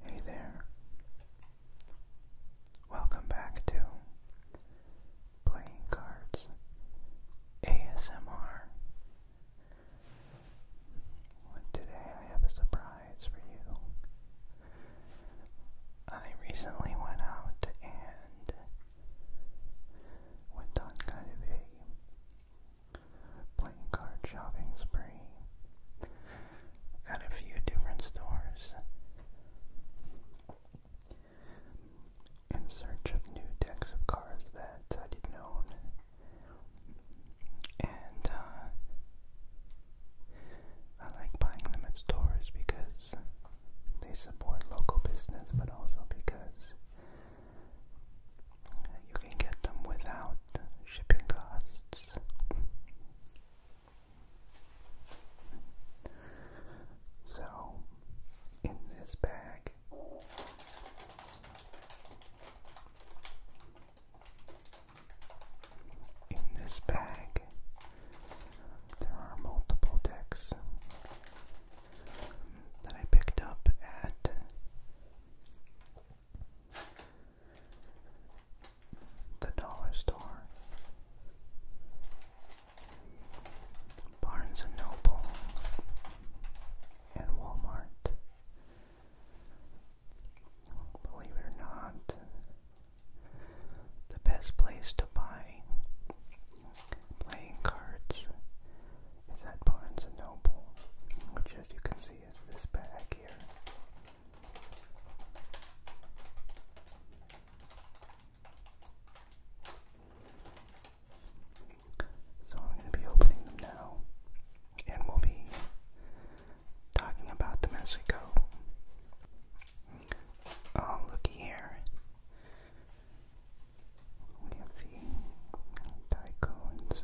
Hey there. Welcome back to Playing Cards ASMR. Today I have a surprise for you. I recently went out and went on kind of a playing card shopping spree at a few different stores in search of new decks of cards that I didn't own. And uh, I like buying them at stores because they support local business, but also because you can get them without shipping costs. So, in this bag, in this bag, there are multiple decks that I picked up at the Dollar Store, Barnes and Noble, and Walmart. Believe it or not, the best place to buy playing cards is at Barnes and Noble, which, as you can see, is this bag. So I'm going to be opening them now, and we'll be talking about them as we go. Oh, looky here. We have the Tycoons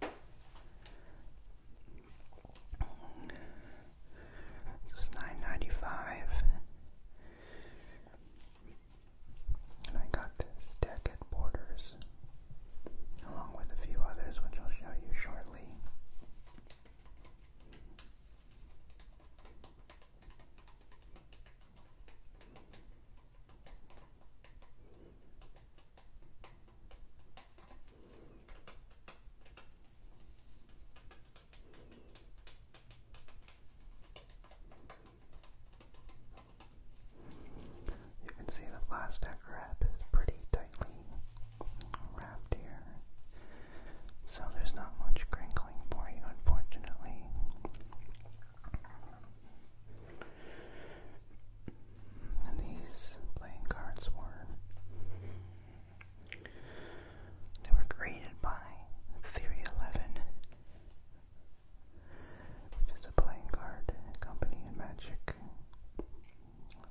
this was nine ninety five, and I got this deck at Borders, along with a few others, which I'll show you shortly. You can see the plastic wrap is pretty tightly wrapped here, so there's not much crinkling for you, unfortunately. And these playing cards were they were created by Theory 11, which is a playing card company and Magic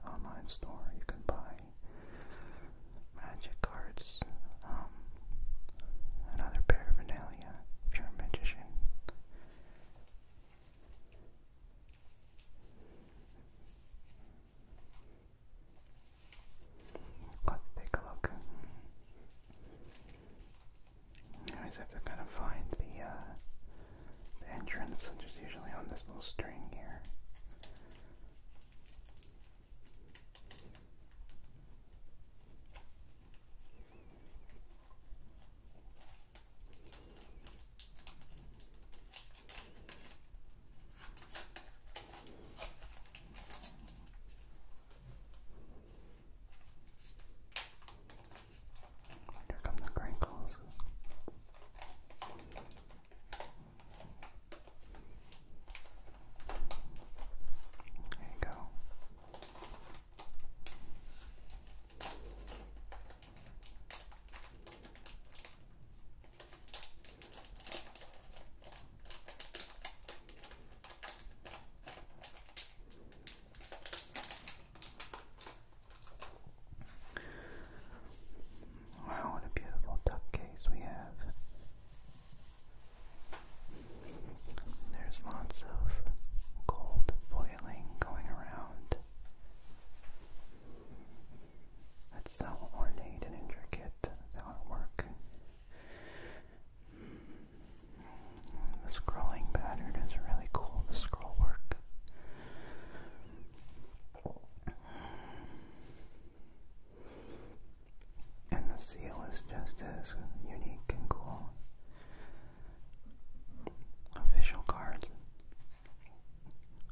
online store. You can buy Magic cards um, and other paraphernalia if you're a magician. Let's take a look. I always have to kind of find the, uh, the entrance, which is usually on this little string here. Here come the crinkles. There you go. Wow, what a beautiful duck we have. There's lots of cold boiling going around. That's so ornate and intricate, that work. The scrolling pattern is really cool, the scroll work. And the seal is just as unique and cool official cards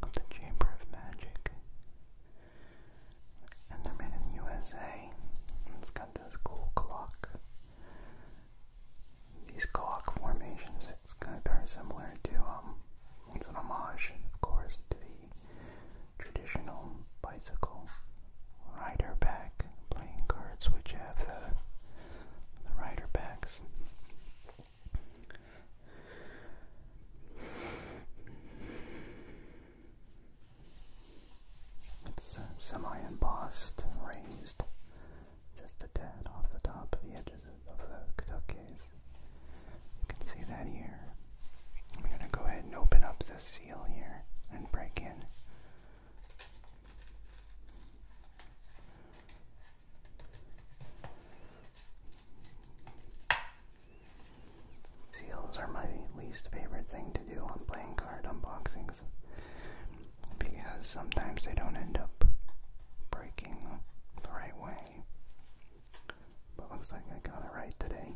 of the Chamber of Magic. And they're made in the USA. It's got this cool clock. These clock formations, it's kind of very similar to, um, it's an homage, of course, to the traditional bicycle rider back playing cards which have uh, the, the rider backs. It's uh, semi-embossed, raised just a tad off the top of the edges of the case. You can see that here. I'm going to go ahead and open up the seal here and break in. Seals are my least favorite thing to do on playing card unboxings because sometimes they don't end up breaking the right way. But looks like I got it right today.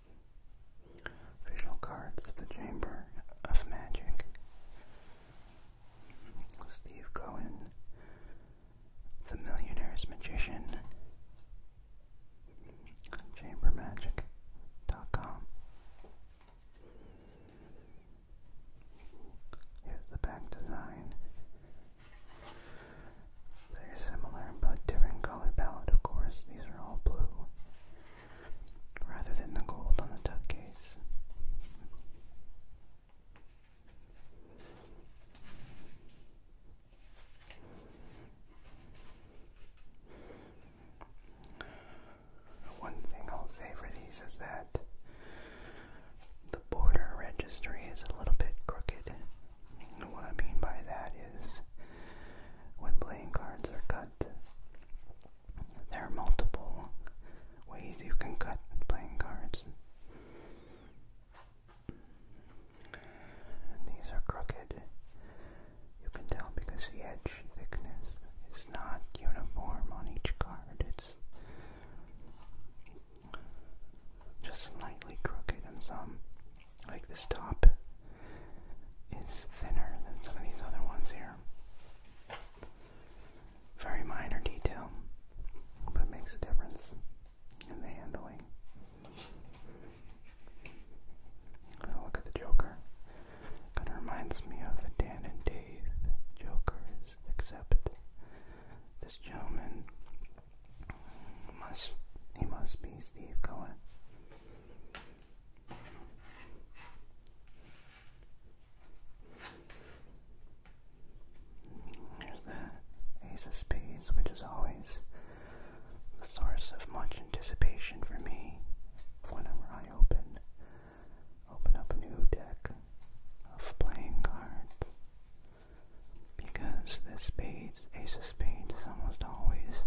Visual Cards of the Chamber of Magic. Steve Cohen, The Millionaire's Magician. Chambermagic.com. Here's the back design. they similar but different color palette, of course. These are all blue rather than the gold on the duck case. One thing I'll say for these is that the border registry is a little bit crooked. what I mean by that is when playing cards are cut. There are multiple ways you can cut playing cards. these are crooked. You can tell because the edge thickness is not uniform on each card. It's just slightly crooked in some like this top is thinner than some of these other ones here. Very minor detail, but makes a difference in the handling. I'm going look at the Joker. Kind of reminds me of the Dan and Dave Jokers, except this gentleman must he must be Steve Cohen. There's the Ace of Spades, which is always the source of much anticipation for me whenever I open open up a new deck of playing cards. Because the spades, Ace of Spades is almost always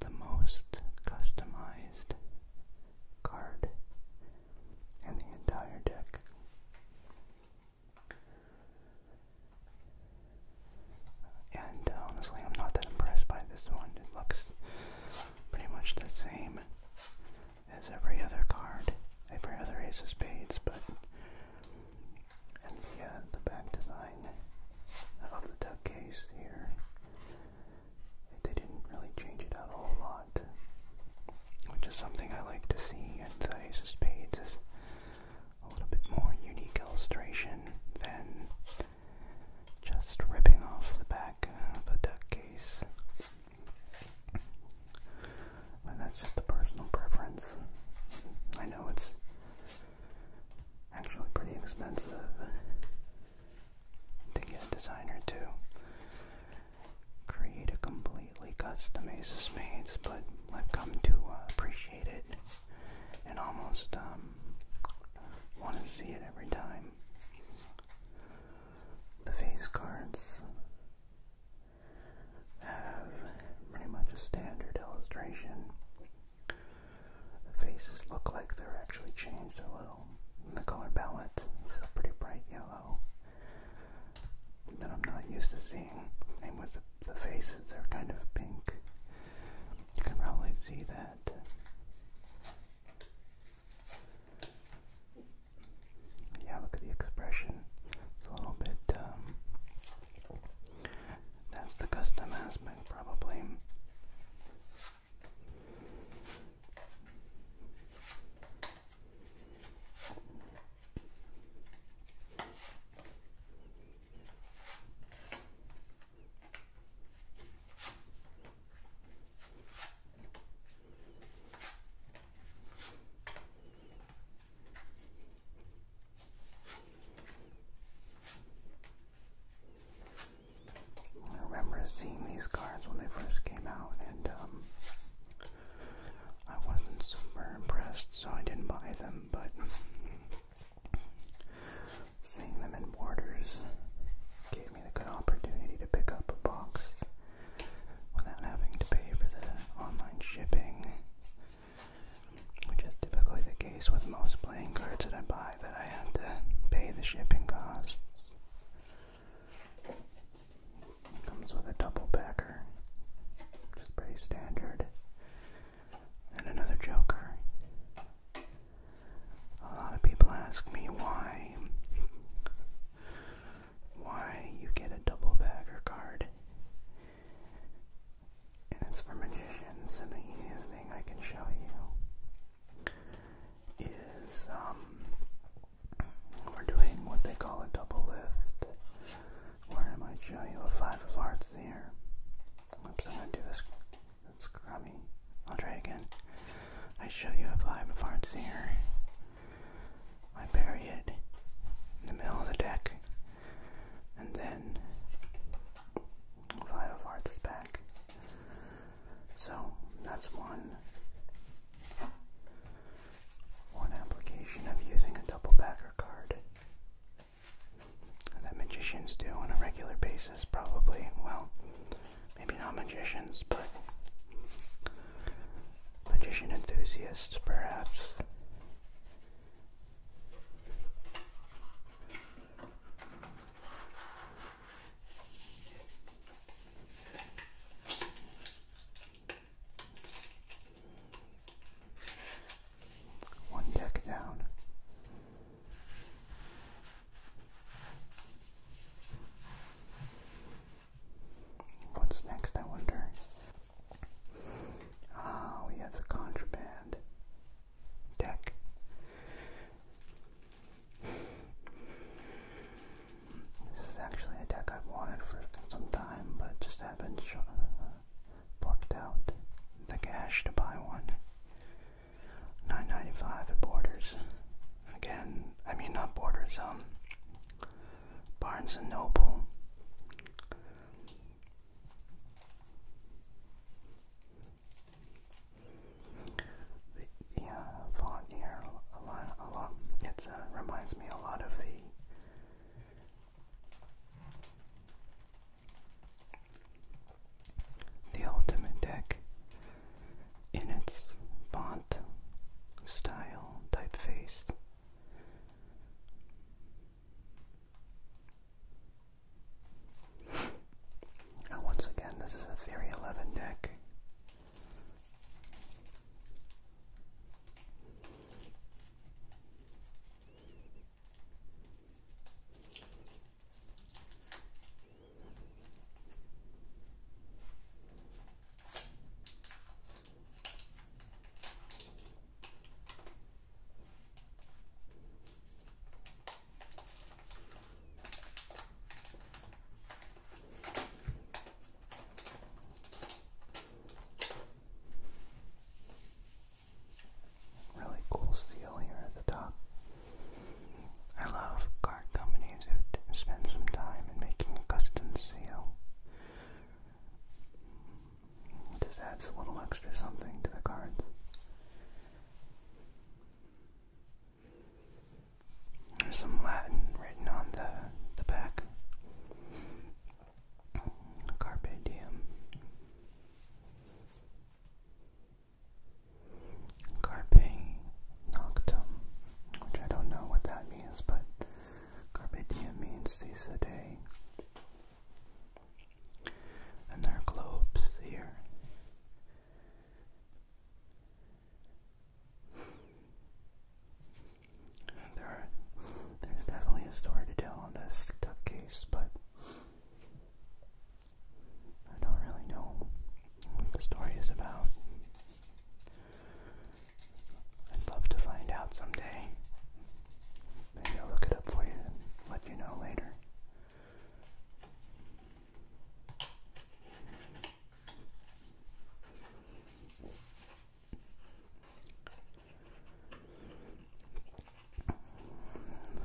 the most customized card in the entire deck. And uh, honestly, I'm not that impressed by this one. It looks pretty much the same as every other card, every other Ace of Spades, but and the, the back design of the duck case here. They didn't really change it out a whole lot, which is something I like to see, and the Ace of Spades a little bit more unique illustration than just ripping off the back of a duck case. And that's just a personal preference. I know it's actually pretty expensive to get a designer to create a completely custom Ace of Spades, but I've come to uh, appreciate it and almost um, want to see it every time. The face cards have pretty much a standard illustration the faces look like they're actually changed a little. And the color palette is a pretty bright yellow that I'm not used to seeing. And with the, faces, they're kind of pink. You can probably see that. Yeah, look at the expression. It's a little bit um, that's the custom aspect, probably. I remember seeing these cards when they first came out, and um, I wasn't super impressed, so I didn't buy them. But seeing them in Borders gave me the good opportunity to pick up a box without having to pay for the online shipping which is typically the case with most playing cards that I buy, that I have to pay the shipping costs. comes with a double backer, just pretty standard, and another joker. A lot of people ask me why why you get a double backer card and it's for magicians. And the easiest thing I can show you is um, we're doing what they call a double lift, where I might show you a five of hearts here. Oops, I'm gonna do this. That's crummy. I'll try again. I show you a five of hearts here. I bury it in the middle of the deck, and then Five of Hearts back. So that's one one application of using a double backer card that magicians do on a regular basis probably. Well, maybe not magicians, but magician enthusiasts perhaps. One deck down. What's next, I wonder? Ah, we have the contraband deck. This is actually a deck I've wanted for some time, but just haven't sh uh, porked out the cash to buy one. Nine ninety five at Borders. Again, I mean not Borders. Um, Barnes and Noble the, font here a lot, a lot. It uh, reminds me a lot of the the Ultimate Deck in its font, style, typeface. Now, oh, once again, this is a Theory 11 deck. Really cool seal here at the top. I love card companies who spend some time in making a custom seal. It just adds a little extra something to the cards. There's some Latin written on the, the back. Carpe diem. Carpe noctum, which I don't know what that means, but carpe diem means seize the day and their globes here. There, are, there's definitely a story to tell on this duck case, but I don't really know what the story is about. I'd love to find out someday. Maybe I'll look it up for you let you know later.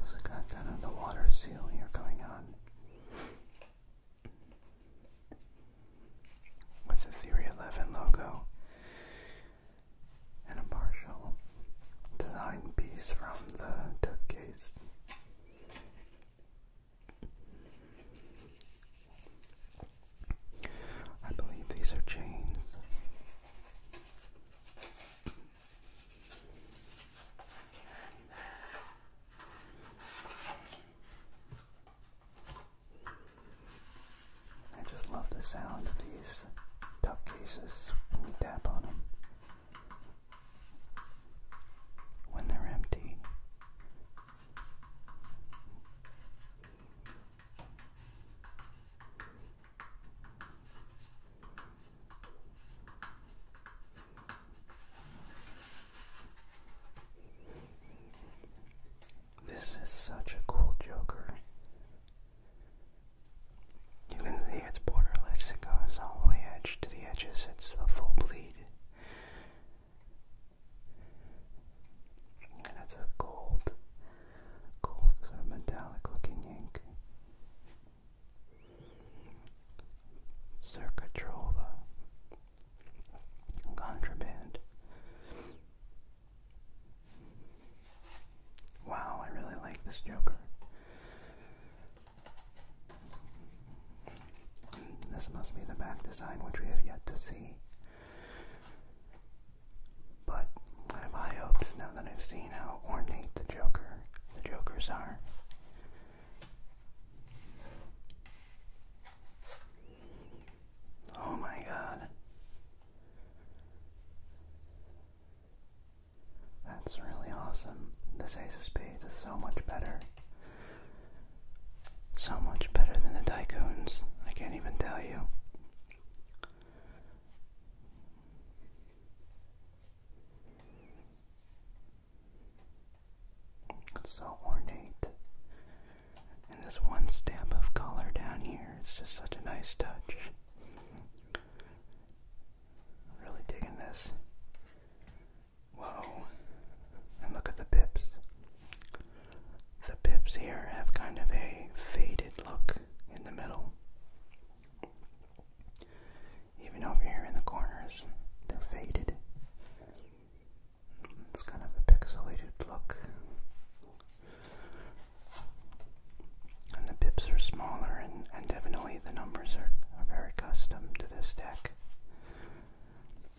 So got kind of the water seal here going on. With the Theory 11 logo and a partial design piece from the Duke I believe these are chains. I just love the sound of these duck cases when you tap on them when they're empty. This is such a cool Joker. You can see it's borderless, it goes all the way edge to the edges, it's a full bleed. And it's a gold, gold sort of metallic looking ink. Circa Contraband. Wow, I really like this Joker. This must be the back design which we have yet to see. But I have high hopes now that I've seen how ornate the Joker, the Jokers are. Oh my god. That's really awesome. This Ace of is so much better. So much better than the Tycoons. I can't even tell you. It's so ornate. And this one stamp of color down here—it's just such a nice touch. Really digging this. Whoa. And look at the pips. The pips here have kind of a faded look in the middle. Even over here in the corners, they're faded. It's kind of a pixelated look and the pips are smaller and, definitely the numbers are, are very custom to this deck.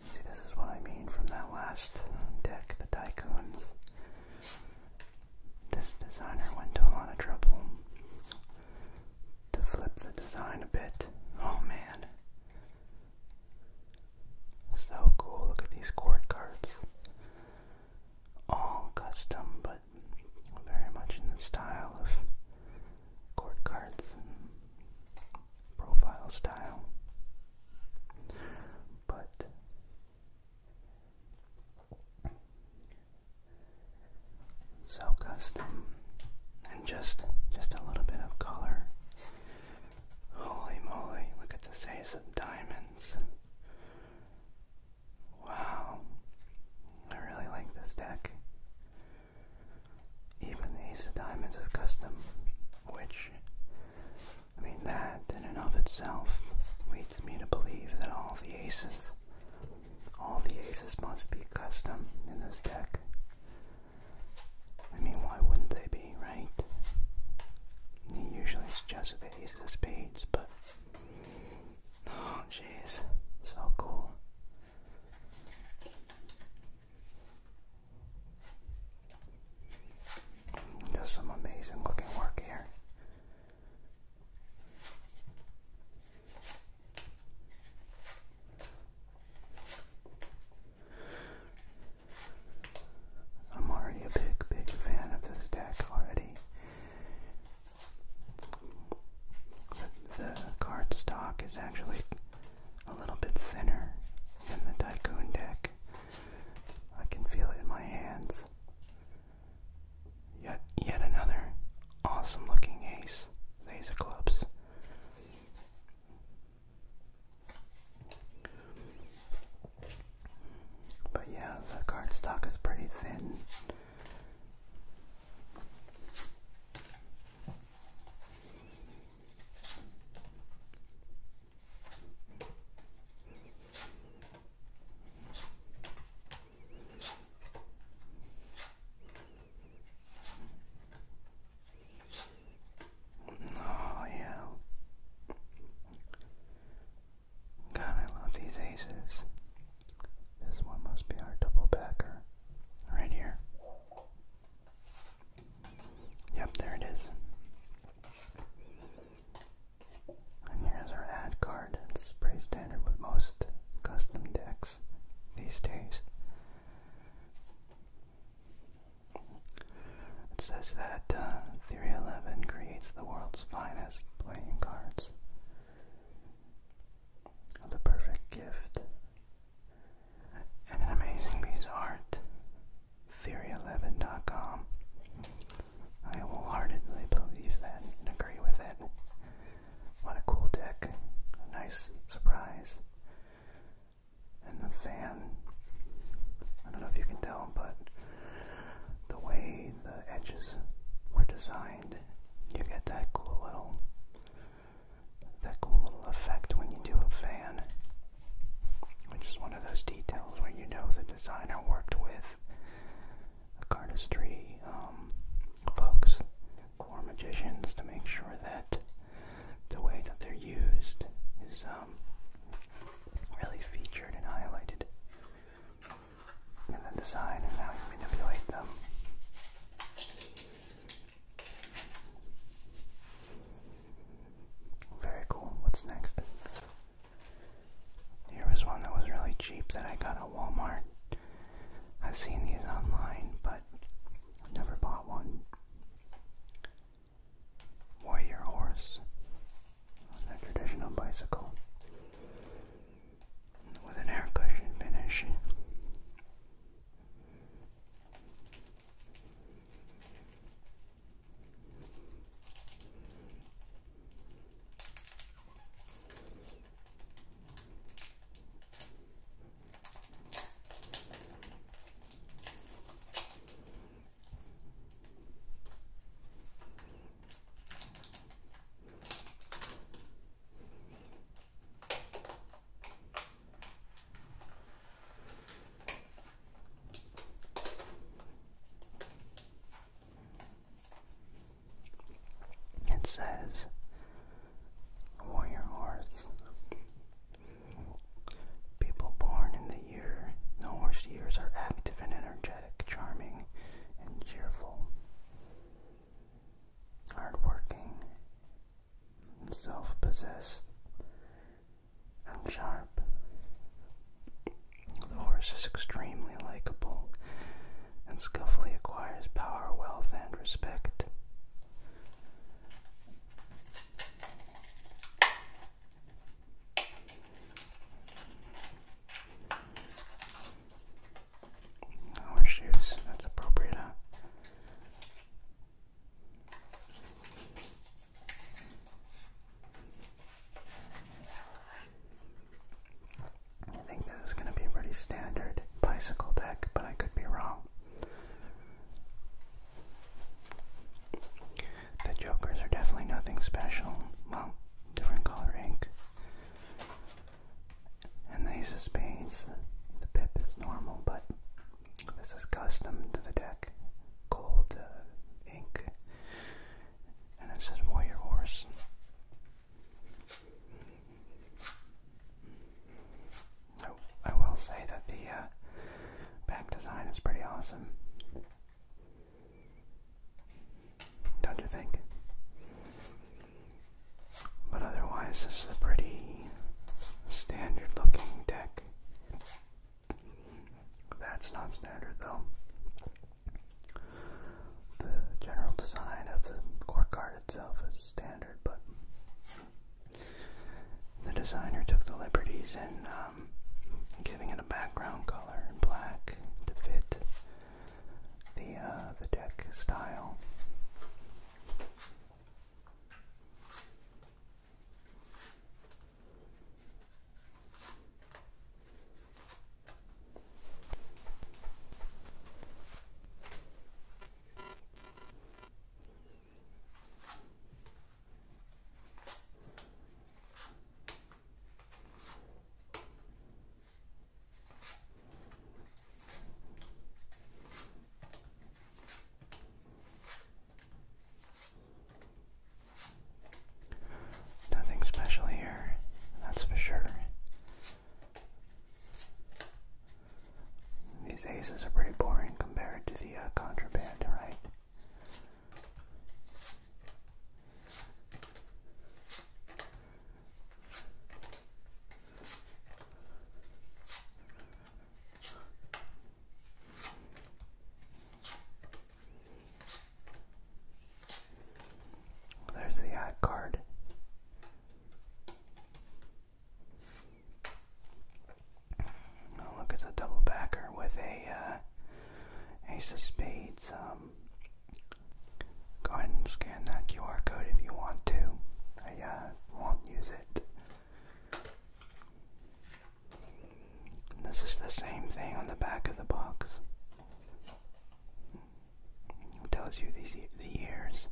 See, this is what I mean from that last deck, the Tycoons. This designer went to a lot of trouble to flip the design a bit. Oh man. So cool, look at these court cards. All custom, but very much in the style of court cards profile style. But so custom and just just a little bit of color. Holy moly, look at this ace of diamonds. Wow, I really like this deck. Even the Ace of Diamonds is custom, which, I mean, that in and of itself leads me to believe that all the aces, all the aces must be custom in this deck. I mean, why wouldn't they be, right? Usually it's just the ace of spades, but Oh, jeez, so cool. Got some amazing looking work here. I'm already a big, big fan of this deck already. The, the cardstock is actually a little bit thinner than the Tycoon deck. I can feel it in my hands. Yet, yet another awesome looking ace. These are clubs. But yeah, the cardstock is pretty thin. Oh, yeah. God, I love these aces. This one must be our double backer. Right here. Yep, there it is. And here's our ad card. It's pretty standard with most custom decks these days. It says that uh, Theory 11 creates the world's finest playing cards the perfect gift, and an amazing piece of art. theory I wholeheartedly believe that and agree with it. What a cool deck, a nice surprise. And the fan, I don't know if you can tell, but the way the edges were designed mind, you get that cool little that cool little effect when you do a fan, which is one of those details where you know the designer worked with cardistry um, folks or magicians to make sure that the way that they're used is um, really featured and highlighted and the design and how you manipulate them. Very cool. What's next? Here was one that was really cheap that I got at Walmart. I've seen these online, but never bought one. Warrior horse on a traditional bicycle with an air cushion finish. It says Warrior Horse. People born in the year, the horse years are active and energetic, charming and cheerful hardworking, and self possessed, and sharp. The horse is extremely likable and skillfully acquires power, wealth, and respect. Or shoes, that's appropriate, huh? I think this is going to be a pretty standard bicycle deck, but I could be wrong. The jokers are definitely nothing special. Well, different color ink. And the just means spades, the pip is normal, but this is custom to the deck, gold uh, ink, and it says warrior horse. I, will say that the back uh, design is pretty awesome. Don't you think? But otherwise, this is a pretty standard looking deck. That's not standard though. The general design of the court card itself is standard, but the designer took the liberties in um, giving it a background color in black to fit the uh, the deck style. Nothing special here, that's for sure. These aces are pretty boring compared to the uh, contraband, right? There's the eye card. look, it's a double backer with a uh, ace of spades. Um, Go ahead and scan that QR code if you want to. I uh, won't use it. this is the same thing on the back of the box. It tells you these the years.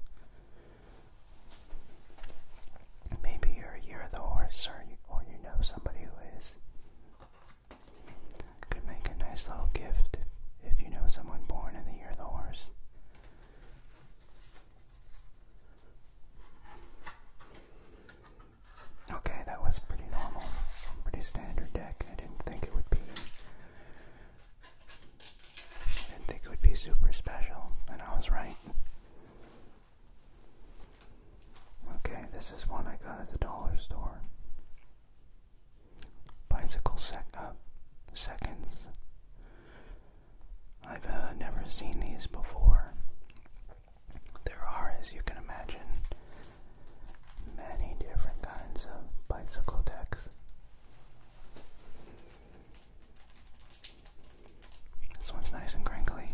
Maybe you're a year of the horse, or you, or you know somebody who is. Could make a nice little gift if you know someone born in the year of the horse. Okay, that was pretty normal. Pretty standard deck. I didn't think it would be I didn't think it would be super special, and I was right. Okay, this is one I got at the dollar store bicycle sec up uh, seconds. I've uh, never seen these before. There are, as you can imagine, many different kinds of bicycle decks. This one's nice and crinkly.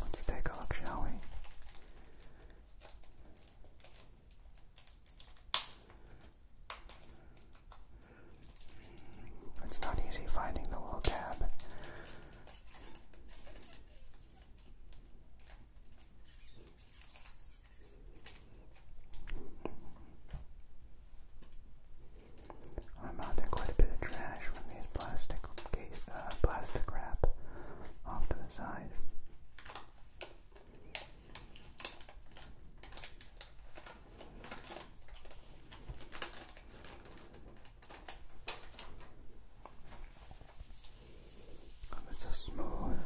Let's take a look, shall we? It's not easy finding the little tab. I'm out there quite a bit of trash from these plastic case, uh, plastic wrap off to the side. Um, it's a smooth,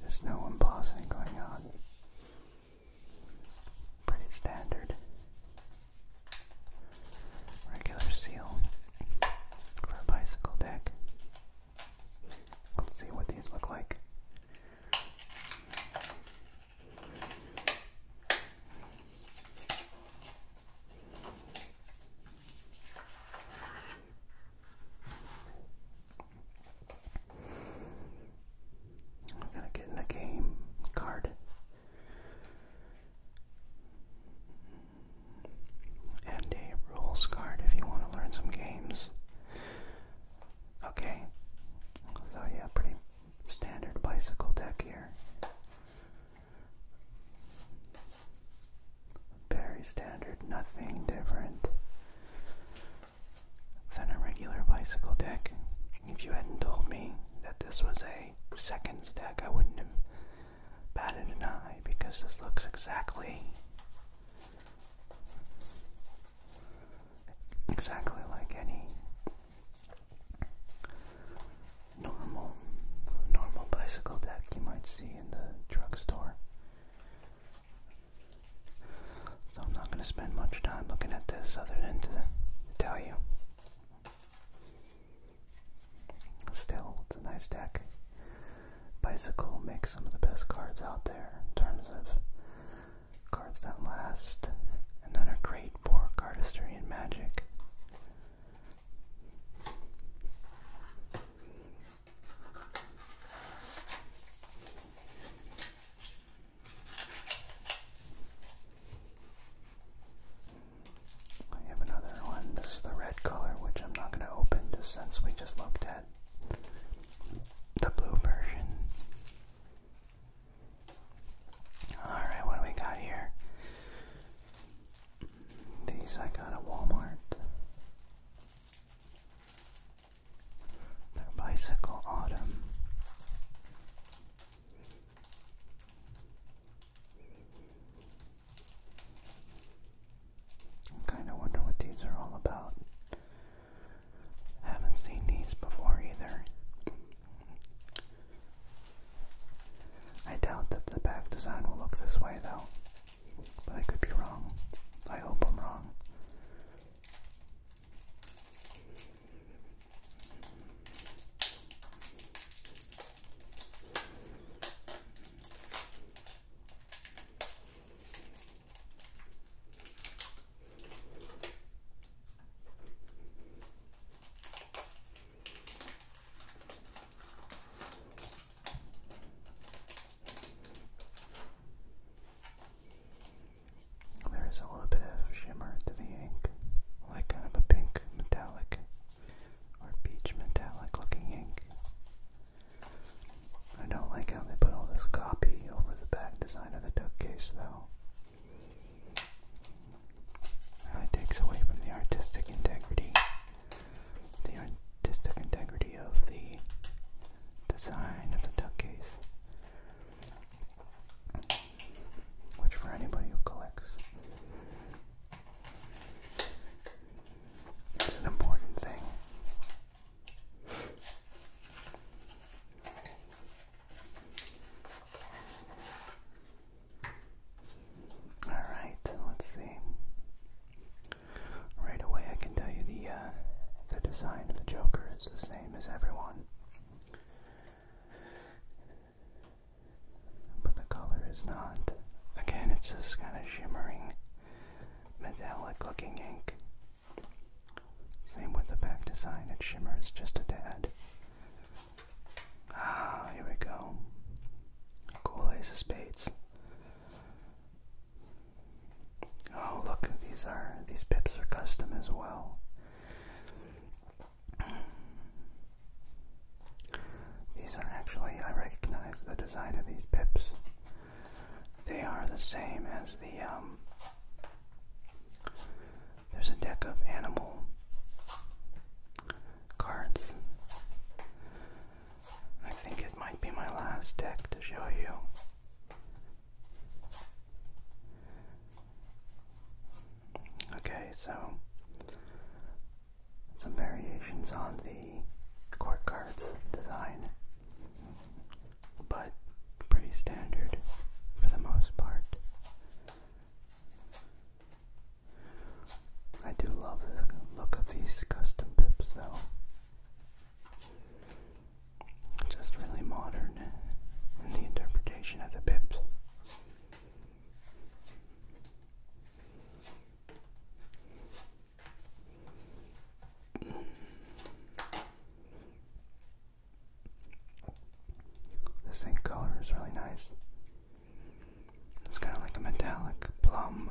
there's no embossing going on. Pretty standard. Regular seal for a bicycle deck. Let's see what these look like. I'm gonna get the game card. And a rules card if you want to learn some games. Okay. So yeah, pretty standard bicycle deck here. Very standard, nothing different than a regular bicycle deck. If you hadn't told me that this was a second stack, I wouldn't have batted an eye because this looks exactly exactly like any normal normal bicycle deck you might see in the drugstore. So I'm not going to spend much time looking at this other than to tell you. Still, it's a nice deck. Bicycle makes some of the best cards out there in terms of cards that last and that are great for cardistry and magic. I have another one. This is the red color, which I'm not going to open just since we just looked at the blue version. Alright, what do we got here? These I got at Walmart. Their bicycle autumn. I kinda wonder what these are all about. Haven't seen these before either. I doubt that the back design will look this way though. But I could be wrong. I hope I'm wrong. There is a little bit of shimmer to the ink, like kind of a pink metallic or peach metallic looking ink. I don't like how they put all this copy over the back design of the duck case, though. It takes away from the artistic integrity the artistic integrity of the design of the duck case. Which for anybody who collects is an important thing. Alright, let's see. Right away, I can tell you the uh, the design of the Joker is the same as everyone, but the color is not. Again, it's this kind of shimmering, metallic-looking ink. Same with the back design; it shimmers just a tad. Ah, here we go. Cool Ace of Spades. Oh look, these are these pips are custom as well. These are actually I recognize the design of these pips. They are the same as the um there's a deck of animal cards I think it might be my last deck to show you. Okay, so some variations on the court cards design, but pretty standard for the most part. I do love the look of these custom pips though. Just really modern in the interpretation of the pips. The same color is really nice. It's kind of like a metallic plum.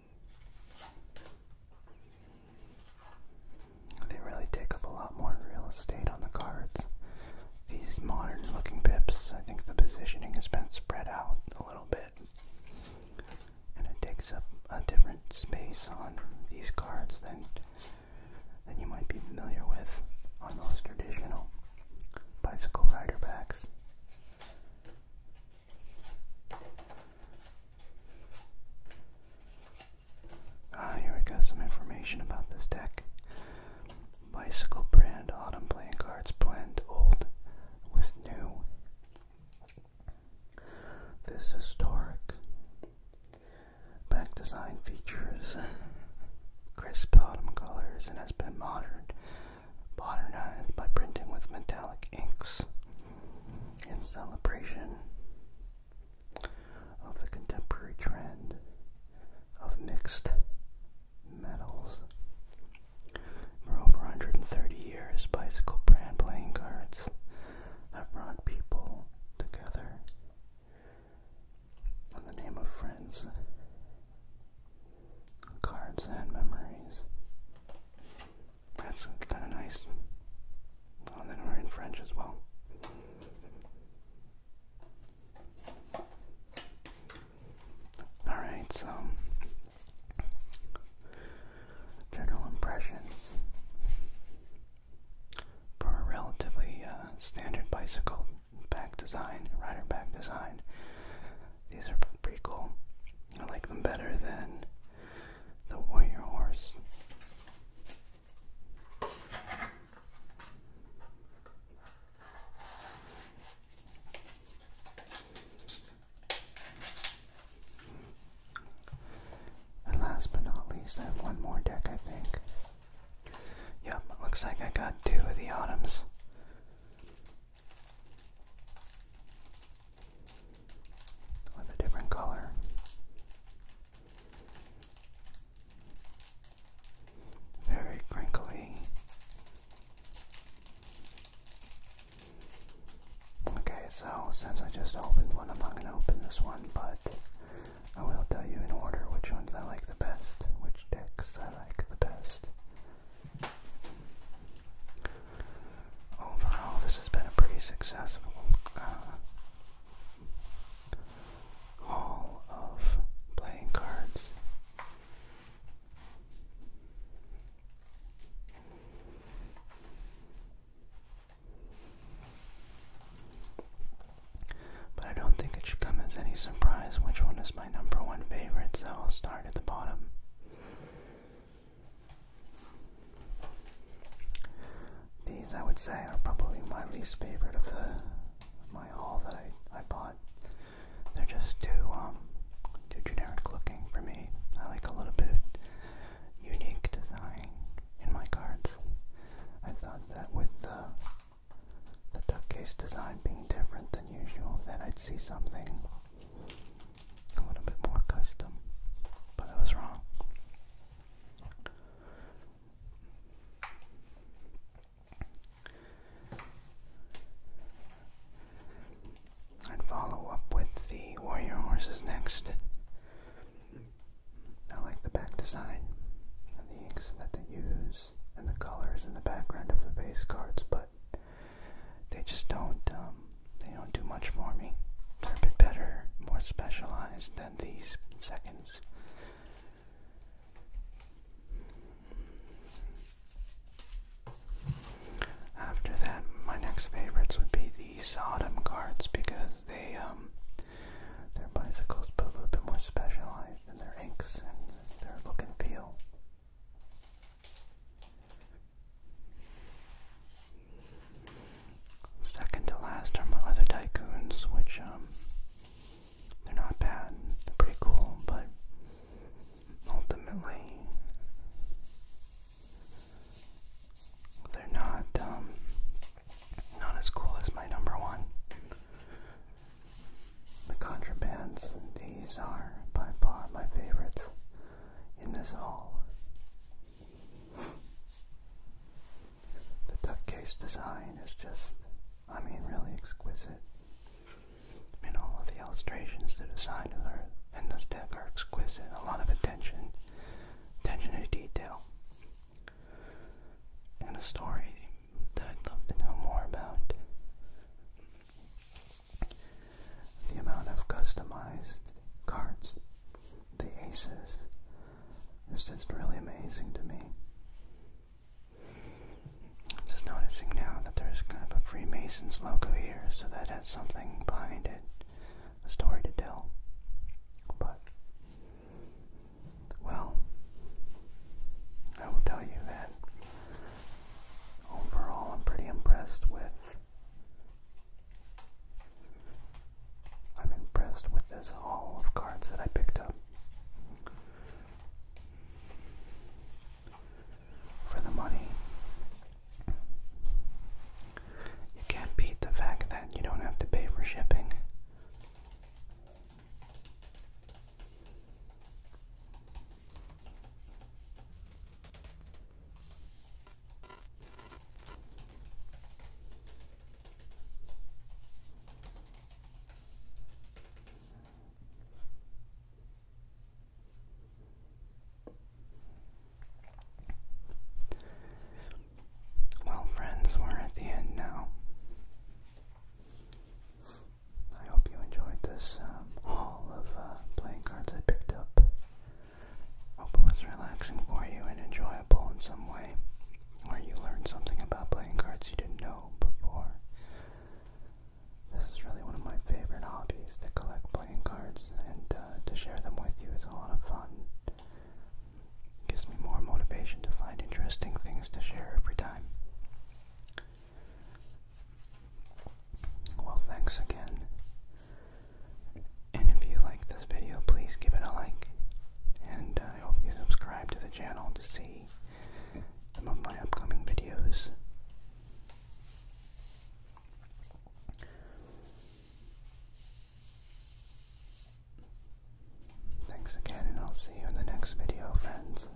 They really take up a lot more real estate on the cards. These modern looking pips, I think the positioning has been spread out a little bit. And it takes up a different space on these cards than than you might be familiar with on those traditional bicycle rider backs. Ah, here we got some information about this deck. Bicycle brand, autumn playing cards blend old with new. This historic back design features crisp autumn colors and has been modern modernized by printing with metallic inks in celebration of the contemporary trend of mixed metals. For over 130 years, bicycle brand playing cards have brought people together in the name of friends, cards, and memories. That's kind of nice. Oh, then we're in French as well. Alright, so general impressions for a relatively uh, standard bicycle back design, rider back design. These are pretty cool. I like them better than the warrior horse. And last but not least, I have one more deck, I think. Yep, looks like I got two of the autumns with a different color. Very crinkly. Okay, so since I just opened one, I'm not going to open this one, but I will tell you in order which ones I like the best, which decks I like the best. Overall, this has been a pretty successful uh, haul of playing cards. But I don't think it should come as any surprise which one is my number one favorite, so I'll start at the bottom. These, I would say, are probably my least favorite of the my haul that I, I bought. They're just too um, too generic looking for me. I like a little bit of unique design in my cards. I thought that with the the duck case design being different than usual, that I'd see something a little bit more custom, but I was wrong. I'd follow up with the warrior horses next. I like the back design and the inks that they use and the colors in the background of the base cards, but they just don't um, they don't do much for me. They're a bit better, more specialized than these seconds. After that, my next favorites would be the Sodom carts because they, um, their bicycles, but a little bit more specialized in their inks and their look and feel. Second to last are my other tycoons, which um, they're not bad, pretty cool, but ultimately they're not um, not as cool as my number one. The contrabands, these are by far my favorites in this haul. The duck case design is just, I mean, really exquisite. I mean, all the illustrations, the design are, in this deck are exquisite. A lot of attention, attention to detail. And a story that I'd love to know more about the amount of customized cards, the aces, is just really amazing to me. just noticing now that there's kind of a Freemasons logo here, so that has something behind it, a story to tell. But, well, I will tell you that overall I'm pretty impressed with I'm impressed with this haul of cards that I picked up. For the money, you can't beat the fact that you don't have to pay for shipping. Well, friends, we're at the end now. I hope you enjoyed this um, haul of uh, playing cards I picked up Hope it was relaxing for you and enjoyable in some way, or you learned something about playing cards you didn't know before. This is really one of my favorite hobbies to collect playing cards, and uh, to share them with you is a lot of fun. Gives me more motivation to find interesting things to share every time. Well, thanks again. And if you like this video, please give it a like. And I hope you subscribe to the channel to see some of my upcoming videos. Thanks again, and I'll see you in the next video, friends.